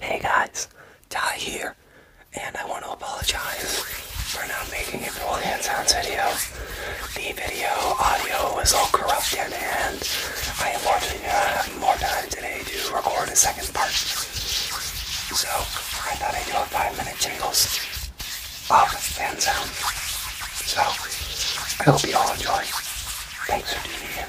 Hey guys, Ty here, and I want to apologize for not making a full hands on video. The video audio was all corrupted, and I am fortunate to have more time uh, today to record a second part. So, I thought I'd do a five-minute jingles of the hands-on. So, I hope you all enjoy. Thanks for tuning in.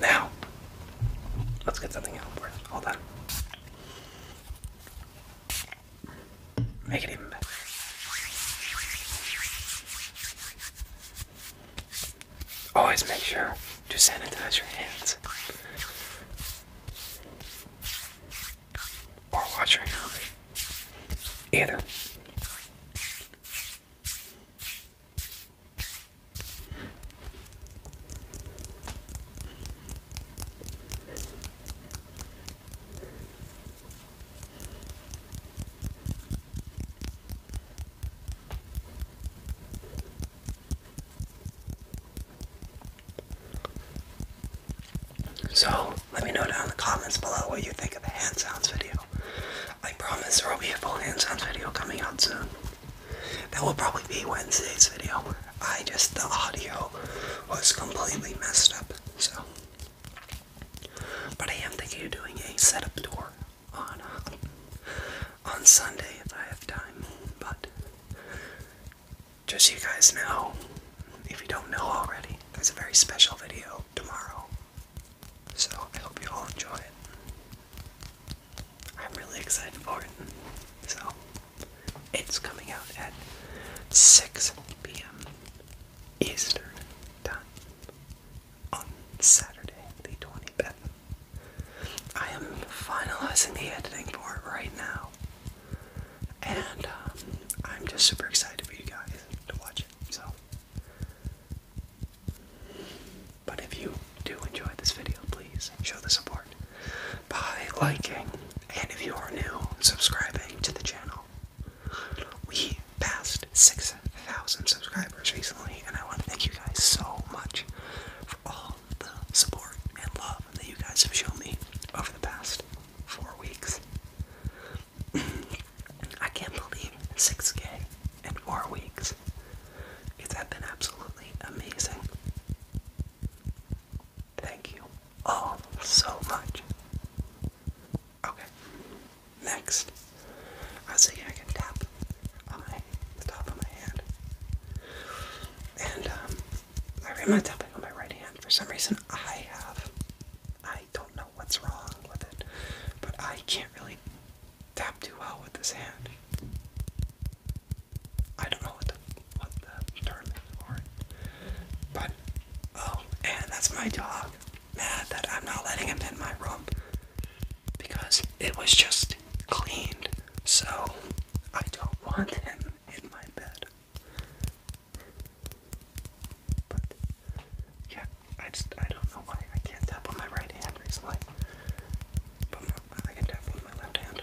Now, let's get something out for it. Hold on. Make it even better. Always make sure to sanitize your hands or watching a Either. So, let me know down in the comments below what you think of the hand sounds video. I promise there will be a full hand sounds video coming out soon. That will probably be Wednesday's video. I just, the audio was completely messed up, so. But I am thinking of doing a setup tour on, uh, on Sunday if I have time, but just so you guys know, if you don't know already, there's a very special video tomorrow. So I hope you all enjoy it. I'm really excited for it. So it's coming out at 6 p.m. Eastern time on Saturday the 25th I am finalizing the editing part right now. And um, I'm just super excited for you guys to watch it. So, but if you do enjoy this video, please show the support by liking. And if you are new, subscribing to the channel. We passed 6,000 subscribers recently, and I want to thank you guys so much for all the support and love that you guys have shown me over the past four weeks. I can't believe 6K four weeks. It's been absolutely amazing. Thank you all so much. Okay, next, I was I can tap on the top of my hand. And um, I remember tapping on my right hand. For some reason, I have. I don't know what's wrong with it, but I can't really tap too well with this hand. I don't know what what the term is for it. But, oh, and that's my dog. Mad that I'm not letting him in my room. Because it was just cleaned, so I don't want him in my bed. But yeah, I just I don't know why I can't tap on my right hand recently. But I can tap on my left hand.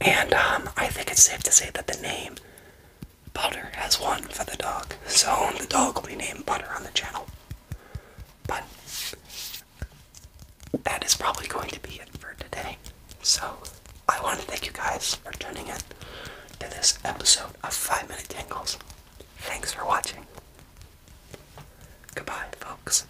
And um, I think it's safe to say that the name Butter has won for the dog. So the dog will be named Butter on the channel. But that is probably going to be it for today. So I want to thank you guys for tuning in to this episode of 5 Minute Tingles. Thanks for watching. Goodbye, folks.